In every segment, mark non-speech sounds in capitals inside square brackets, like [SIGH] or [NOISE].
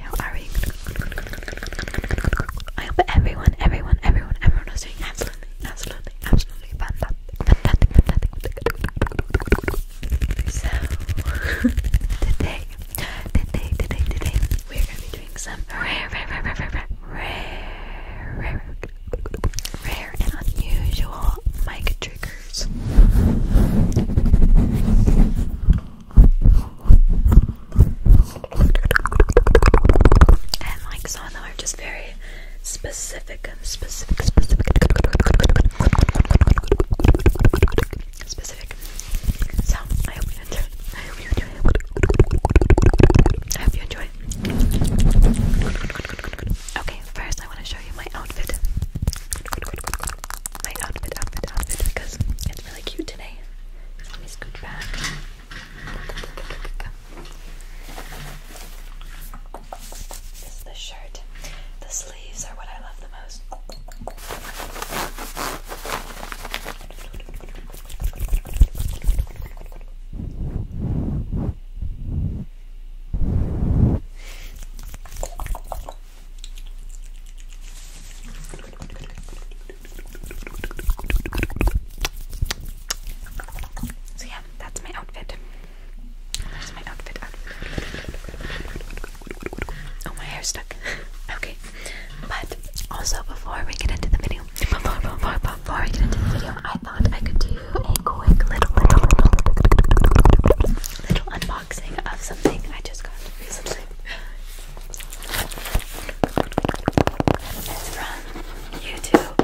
we? How are we? I hope everyone, everyone, everyone, everyone is doing absolutely, absolutely, absolutely fantastic, fantastic, fantastic. So today, today, today, today, we're gonna be doing some rare, rare, rare, rare, rare, rare, rare, rare and unusual mic triggers. And like some of them are just very specific, specific, specific, specific. So I hope you enjoy. I hope you enjoy. I hope you enjoy. Okay, first I want to show you my outfit my outfit, outfit, outfit because it's really cute today. Let me scoot back. This is the shirt. The sleeves are what I love the most. So yeah, that's my outfit. There's my outfit. Oh, my hair's stuck. [LAUGHS] okay, but also before we get into the video, before, before, before we get into the video, I thought I could do a quick little, little unboxing of something I just got recently. Let's YouTube.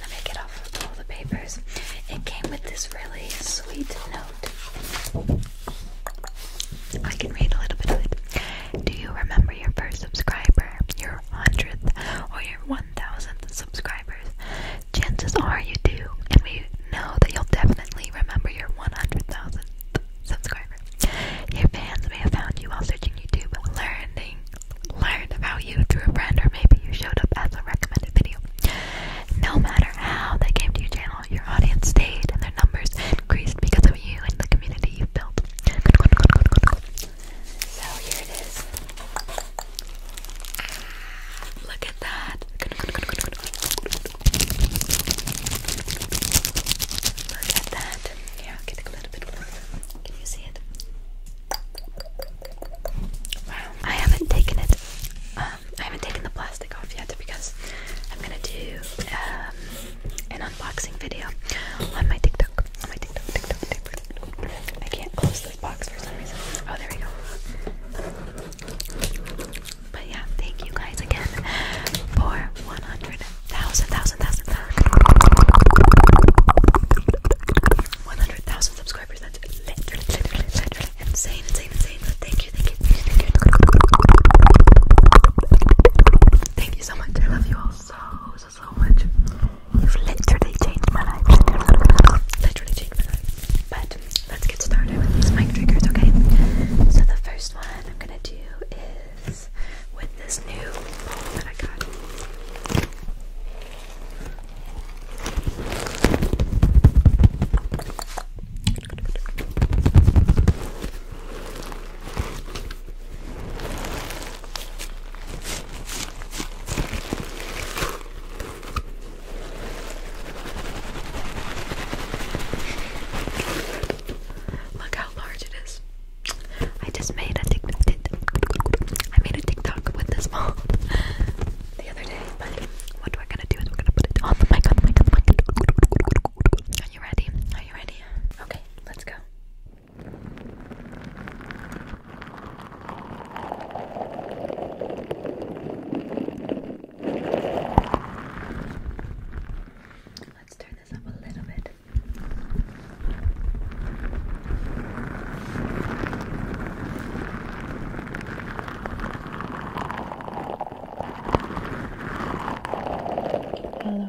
Let me get off all the papers. It came with this really sweet note. I can read a little bit of it. Do you remember your first subscriber, your hundredth, or your one thousandth subscribers? Chances are you do, and we know that you'll definitely remember your one hundred thousandth subscriber. Your fans may have found you while searching YouTube, learning, learned about you through a friend, or maybe you showed up as a recommended video. No matter how they came to your channel, your audience stayed, and their numbers increased because of you and the community you've built. So here it is. Look at that. Look at that. Here, i Can you see it? Wow. I haven't taken it. Um, I haven't taken the plastic off yet because I'm gonna do um, unboxing video on my TikTok. On my TikTok, TikTok, TikTok. I can't close this box for some reason. Oh, there we go. But yeah, thank you guys again for 100,000, thousand, thousand, one hundred thousand subscribers. literally, literally, literally insane, insane, insane. thank you, thank you, thank you, so much. I love you all so, so, so much. You've literally changed my life. [LAUGHS] literally changed my life. But let's get started with these mic triggers, okay? So the first one I'm gonna do is with this new bowl that I got. Look how large it is. I just made a TikTok. I made a TikTok with this ball [LAUGHS] the other day. what we're gonna do is we're gonna put it on the mic, on the mic, on the mic. Are you ready? Are you ready? Okay, let's go. Let's turn this up a little bit. Hello,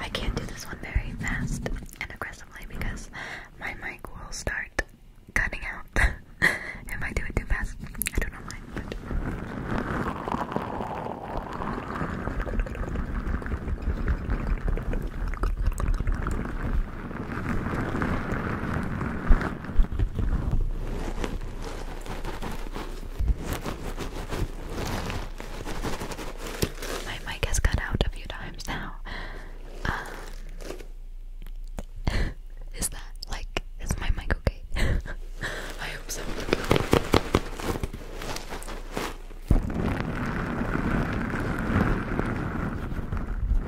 I can't do this one very fast and aggressively because my mic will start cutting out [LAUGHS] if I do too fast. I don't know my mic has cut out a few times now. Um, [LAUGHS] is that like, is my mic okay? [LAUGHS] I hope so.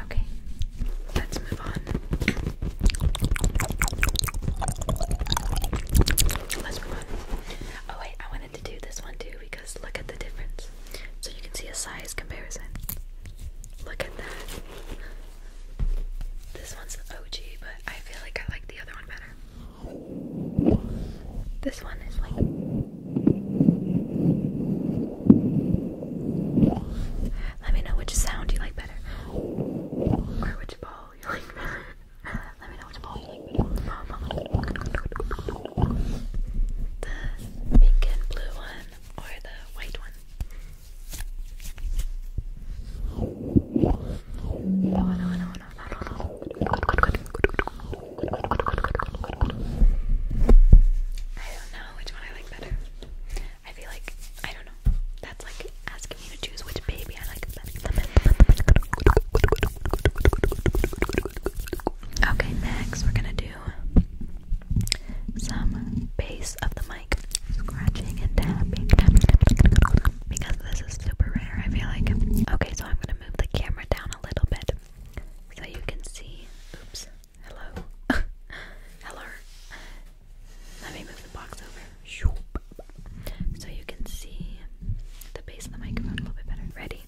Okay, let's move on. Let's move on. Oh, wait, I wanted to do this one too because look at the difference. So you can see a size comparison. Look at that. This one's the OG, but I feel like I like the other one better. This one is like. Let me know which sound you like better. Or which ball you like better. Let me know which ball you like better. The pink and blue one or the white one? No, no, no, no, no. I don't know which one I like better. I feel like I don't know. That's like asking me to choose which baby I like better. Okay, next we're gonna do some base of the mic scratching and tapping because this is super rare. I feel like. Okay, so I'm gonna move the camera down a little bit so you can see. Oops. Hello. [LAUGHS] Hello. Let me move the box over. So you can see the base of the microphone a little bit better. Ready?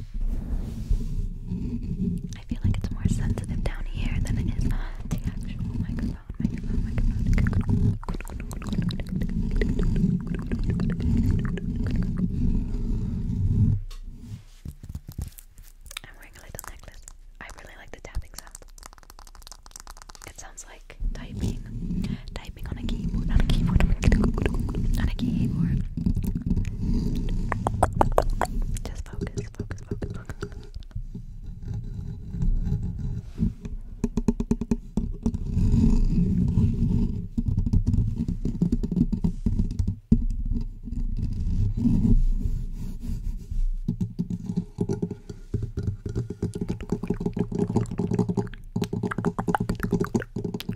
I feel like it's more sensitive down here than it is the actual microphone. I'm wearing a little necklace. I really like the tapping sound. It sounds like typing. Typing typing on a keyboard, on a keyboard, on a keyboard. Just focus, focus, focus, focus.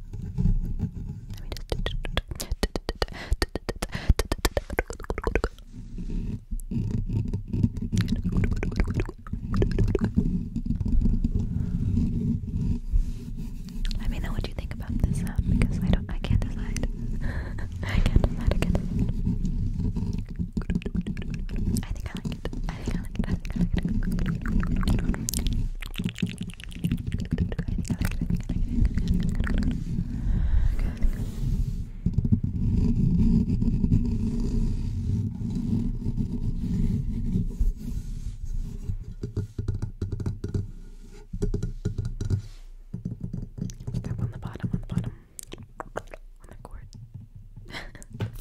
Let me just Let me know what you think about this sound um, because I don't I can't decide. [LAUGHS] I can't decide, I can't decide. I think I like it. I think I like it. I think I like it. Step on the bottom, on the bottom, on the cord. [LAUGHS]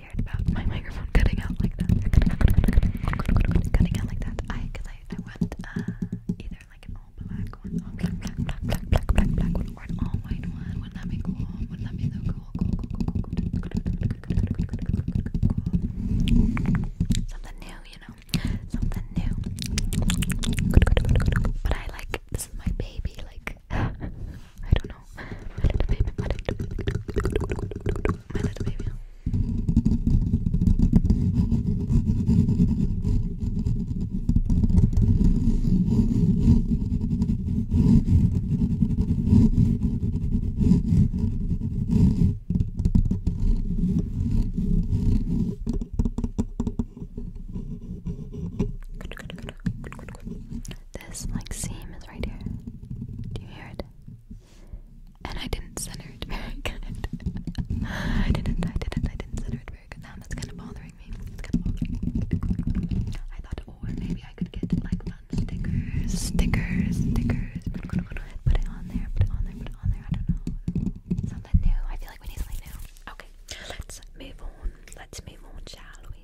scared about my microphone cutting out like that. Cutting out like that. I, cause I, I want either like an all black one, all black, black, black, black, black, black, one, or an all white one. Wouldn't that be cool? Wouldn't that be so cool? Cool, Something new, you know. Something new. But I like this is my baby. Like I don't know. I don't know. This like seam is right here. Do you hear it? And I didn't center it very [LAUGHS] good. I didn't, I didn't, I didn't center it very good. Now that's kind of bothering me. It's kind of bothering me. I thought, or oh, maybe I could get like stickers, stickers, stickers. Put it on there, put it on there, put it on there. I don't know. Something new. I feel like we need something new. Okay, let's move on. Let's move on, shall we?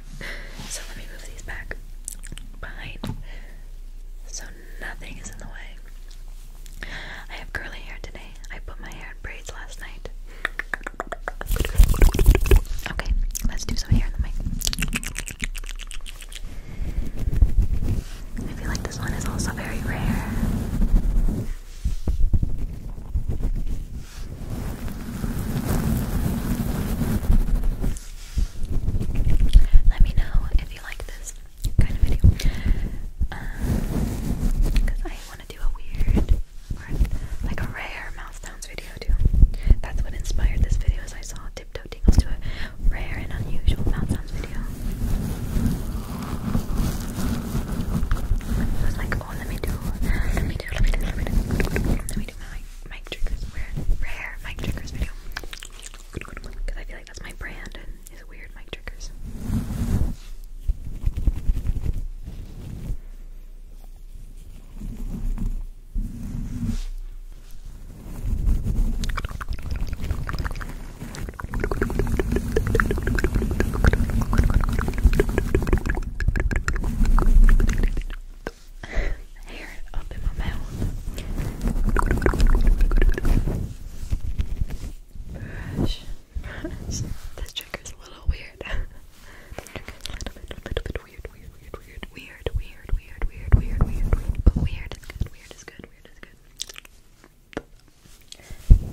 so let me move these back behind so nothing is in the way. I have curly hair today. I put my hair in braids last night. Okay, let's do some hair in the mic. I feel like this one is also very rare. Let me know if you like this kind of video. Because uh, I want to do a weird, like a rare mouth sounds video too. That's what inspired this video As I saw Tiptoe Tingles do a rare and unusual mouth sounds video. I was like, oh let me do, let me do, let me do, let me do, let me do, we my triggers rare mic triggers video because I feel like that's my brand is weird mic triggers hair up in my mouth. Brush, brush. This trigger's a little weird. a little bit, a little bit weird, weird, weird, weird, weird, weird, weird, weird, weird, weird, weird. But weird Weird Weird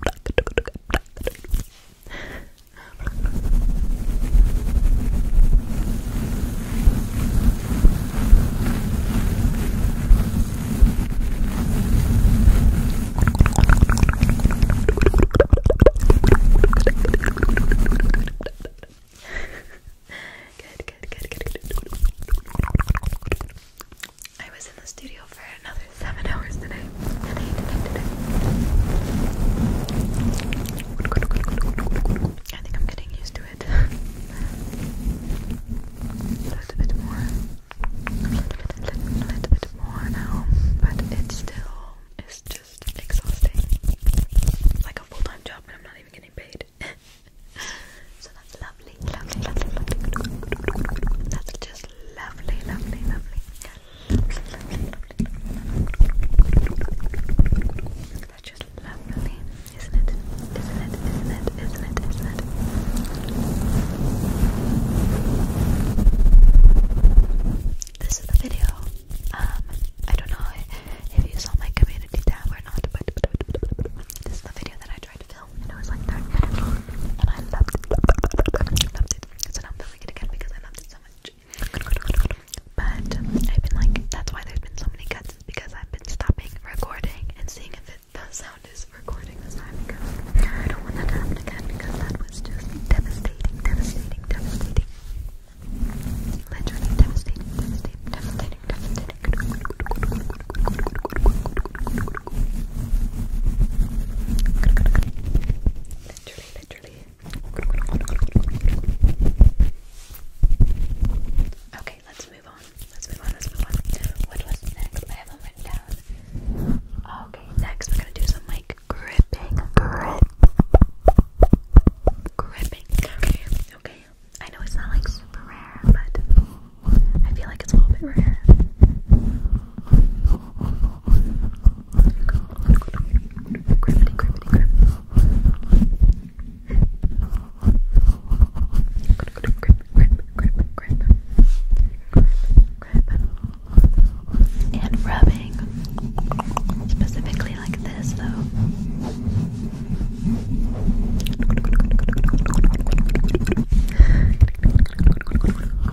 Good, good, good, good, good. I was in the studio for another seven hours today. I think I'm getting used to it. [LAUGHS] a little bit more. A little bit, more now. But it still is just exhausting. Like a full time job, and I'm not even getting paid. [LAUGHS] so that's lovely, lovely, lovely. That's just lovely, lovely, lovely. That's just lovely, isn't it? Isn't it? Isn't it? Isn't it? Isn't it? This is the video. Um, I don't know if you saw my community tab or not, but this is the video that I tried to film, and it was like that, and I loved it. Loved it. So now I'm it again because I loved it so much. But I've been like, that's why there's been so many cuts, because I've been stopping recording and seeing if it, the sound is recording this time because I don't want that to happen again because that was just devastating, devastating, devastating. Literally devastating, devastating, devastating, devastating literally, literally. Okay, let's move on. Let's move on. Let's move on. What was next? I haven't written down. Okay, next we're gonna do some like gripping, grip, gripping. Okay, okay. I know it's not like super rare, but I feel like it's a little bit rare. And rubbing specifically like this, though.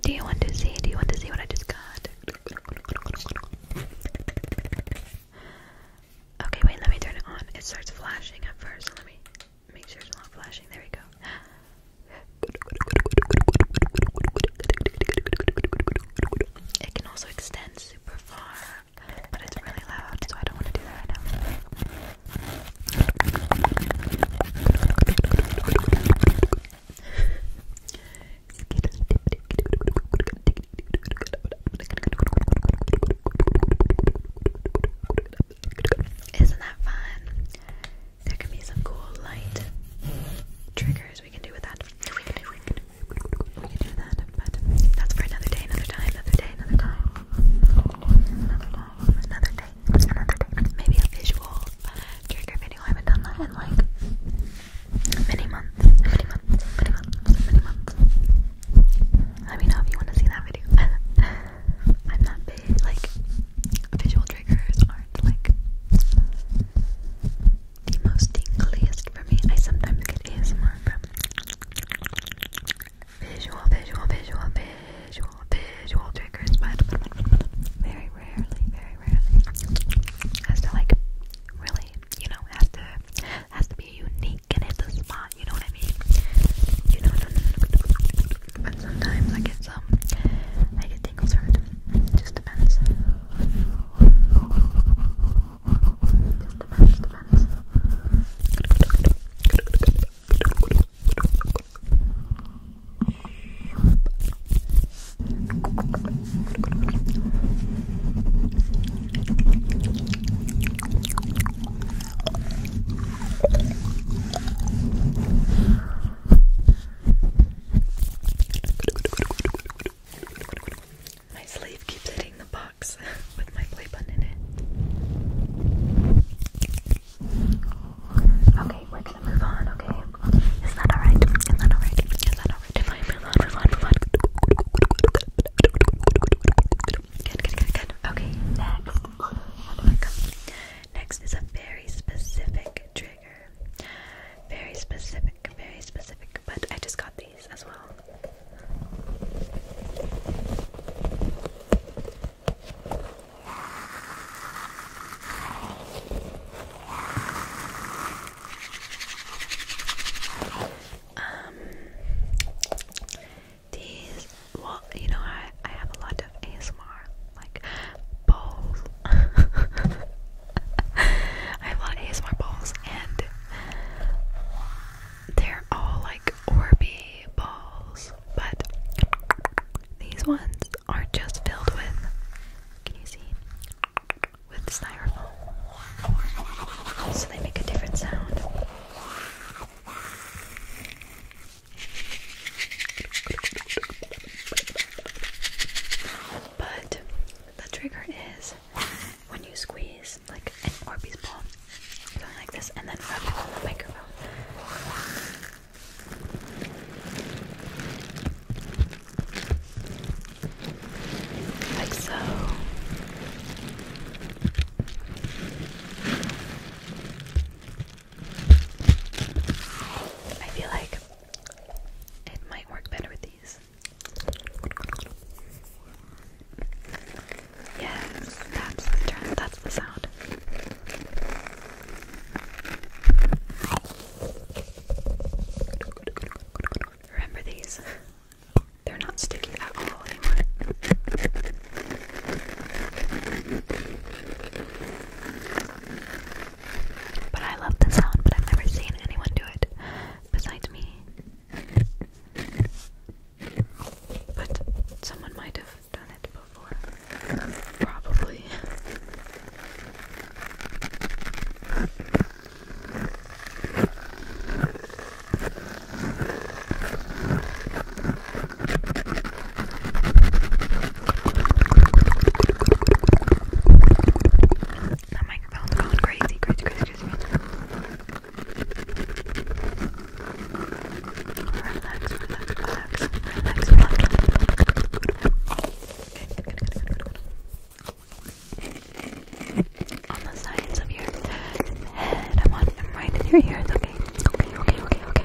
Do you want to see? Good, good, good, good. And wrap, wrap, wrap, wrap, Okay, wait, let me turn it on. It starts flashing at first. Let me make sure it's not flashing. There we go. It can also extend super far, but it's really loud, so I don't want to do that isn't that fun? There can be some cool light triggers we can do with that. We can do, that, but that's for another day, another time, another day, another time. Another time, another day, another day. Maybe a visual trigger video. I haven't done that in like many months, many months, many months, many months. Let me know if you want to see that video. [LAUGHS] I'm not big, like, visual triggers aren't like the most tingliest for me. I sometimes get ASMR from visual, visual, visual, visual, visual triggers, but very rarely, very rarely. As to like really you know, has to has to be unique and hit the spot, you know what I mean? You know but sometimes I get some I get tingles hurt. Just depends. Just depends, depends. My sleeve keeps hitting the box [LAUGHS] with my play button in it. Okay, we're gonna move on, okay? Is that alright? Is that alright? Good, good, good, good. Okay, next. next is a very specific trigger. Very specific, very specific. But I just got these as well. Um, these, well, you know, I, I have a lot of ASMR, like, bowls. [LAUGHS] I have a lot of ASMR bowls, and they're all like Orby balls, but these ones are just filled with. Can you see? with styrofoam, so they make a different sound. But the trigger is when you squeeze like an Orbeez ball, going like this, and then rub the microphone like so. I feel like it might work better with these. Yes, that's the that's the sound. Remember these? They're not sticky at all anymore. But I love the sound, but I've never seen anyone do it besides me. But someone might have done it before. Probably. That microphone's going crazy, crazy, crazy, crazy. Relax, relax, relax, relax, relax. Okay, good, good, good, good, good on the sides of your head. I'm on I'm right in your ears, okay? Okay, okay, okay, okay.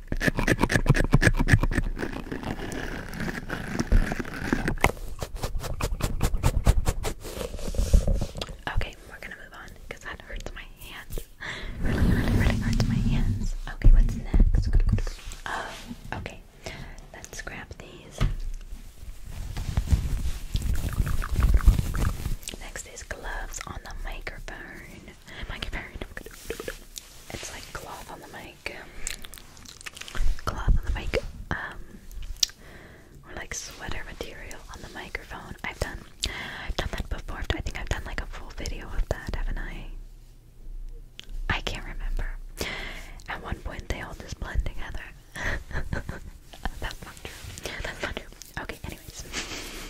Okay, we're gonna move on because that hurts my hands. Really, really, really hurts my hands. Okay, what's next? Oh, okay. Let's grab these. Next is gloves on the microphone. Microphone it's like cloth on the mic. Cloth on the mic. Um or like sweater material on the microphone. I've done I've done that before. I think I've done like a full video of that, haven't I? I can't remember. At one point they all just blend together. [LAUGHS] That's not true. That's not true. Okay, anyways.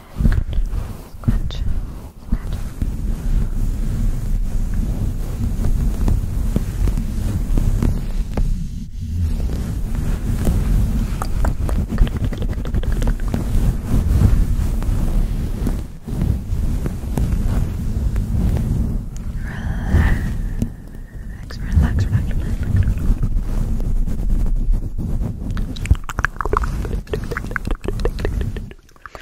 Scratch. Scratch. Relax, relax, relax, relax, relax. Relax.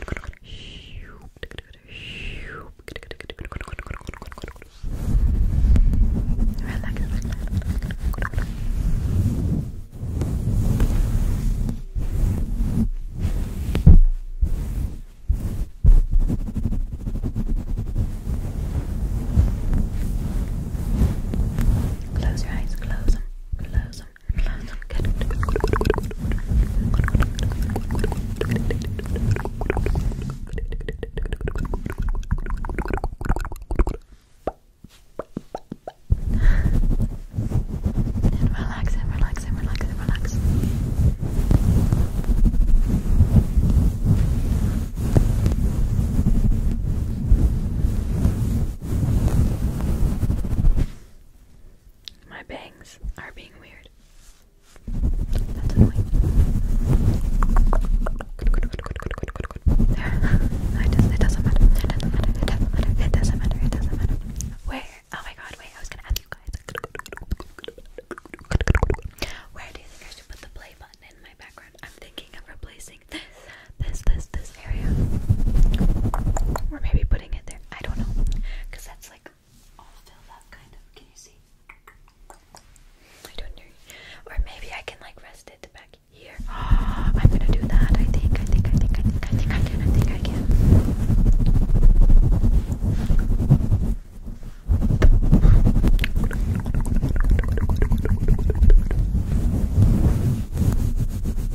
Close your eyes, close them, close blossom, blossom, good, good, good, good, good, and relax and relax and relax and relax. Good, my bangs are being weird. That's annoying. [LAUGHS] it doesn't matter. It doesn't matter. It doesn't matter. It doesn't matter. It doesn't matter. Where? Oh my god, wait, I was gonna ask you guys. Where do you think I should put the play button in my background? I'm thinking of replacing this, this, this, this, or maybe putting it there. I don't know. that's like all filled up, kind of. Can you see? I don't know. Or maybe I can like rest it back here. [GASPS] I'm gonna do that. I think. I think. I think. I think. I think I can. I think I can.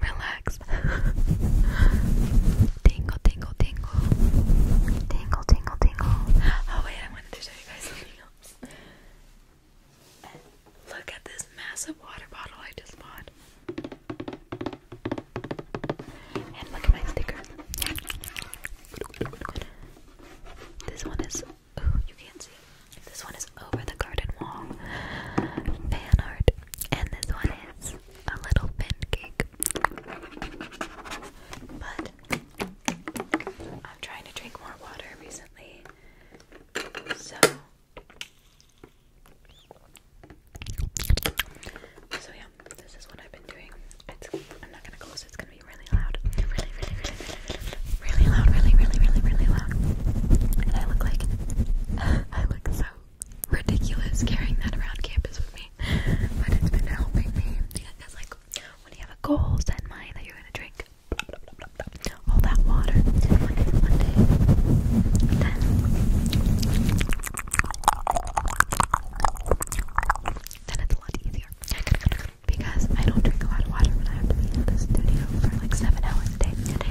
Relax. tingle, tingle, tingle. Tingle, tingle, tingle. Oh, wait, I wanted to show you guys something else. Look at this massive water bottle I just bought. And look at my stickers. This one is Ooh, you can't see. This one is over the garden wall. Fan And this one is a little pin But I'm trying to drink more water recently. So So yeah, this is what I've been doing. I'm not gonna close it's gonna be really loud. Really, really, really, really loud, really, really, really, really loud. And I look like [LAUGHS] I look so ridiculous carrying that around campus with me. But it's been helping me. Because like when you have a goal set in mind that you're gonna drink all that water Monday to then it's a lot easier. Because I don't drink a lot of water when I have to be in the studio for like seven hours a day. Okay,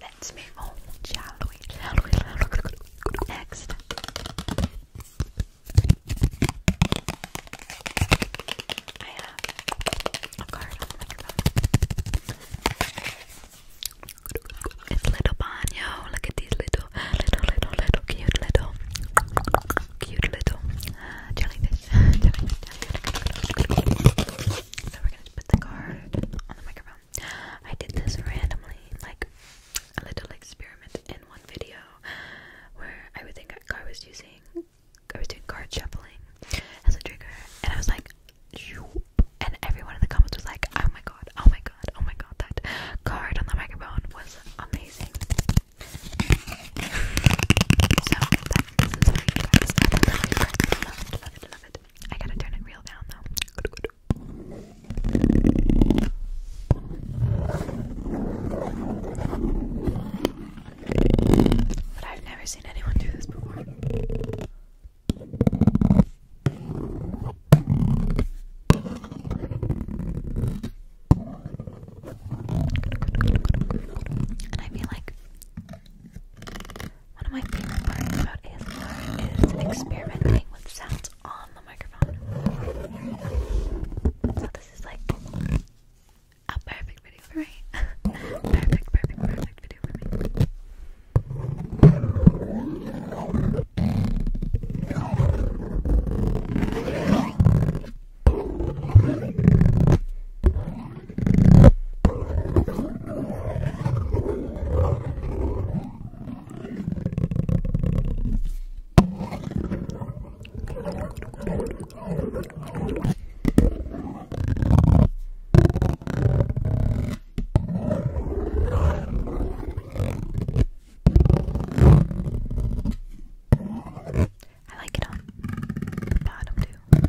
let's move on, shall we? Shall we? Next. I have a card It's little Banyo. Look at these little, little, little, little, cute little, cute little uh, jellyfish. [LAUGHS] So we're gonna put the card on the microphone. I did this randomly, like a little experiment in one video where I would think I was using, I was doing card shuffling as a trigger, and I was like, and everyone in the comments was like, oh my god, oh my god, oh my god, that card on the microphone was amazing. So, I gotta turn it real down though. But I've never seen anyone do this before. And I feel like one of my favorite parts about ASMR is experimenting with sounds on the microphone. So this is like a perfect video for me. [LAUGHS] perfect, perfect, perfect video for me. I like it on the bottom too.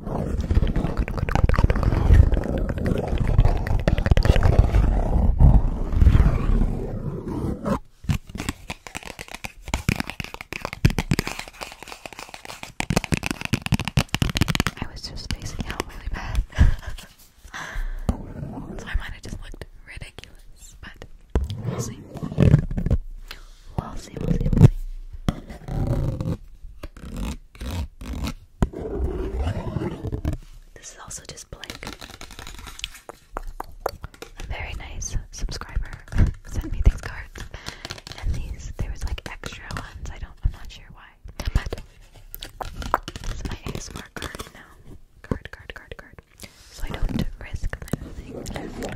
I was just spacing out really bad. [LAUGHS] so I might have just looked ridiculous, but we'll see. We'll see, we'll see, we'll see. This is also just blank. A very nice subscriber [LAUGHS] sent me these cards, and these there was like extra ones. I don't, I'm not sure why, this is my ASMR card now. Card, card, card, card. So I don't risk losing.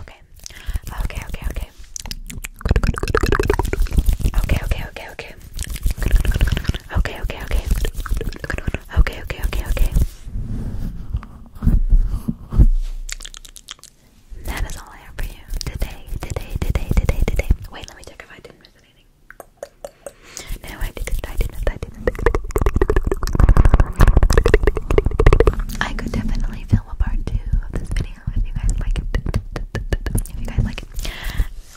Okay. Okay, okay, okay. Okay, okay, okay, okay. Okay, okay, okay. Okay, okay, okay, okay. That is all I have for you today, today, today, today, today. Wait, let me check if I didn't miss anything. No, I didn't, I didn't, I didn't. I could definitely feel a part two of this video if you guys like it. If you guys like it,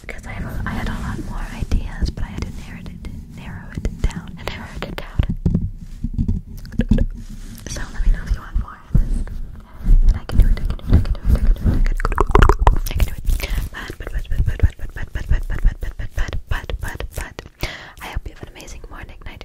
because I had a lot more ideas, but I had to narrow it down narrow it down. So let me know if you want more I can do it. I can do it. I can do it. I can do it. I But but but but but but but but but but but but but but but but. I hope you have an amazing morning, night,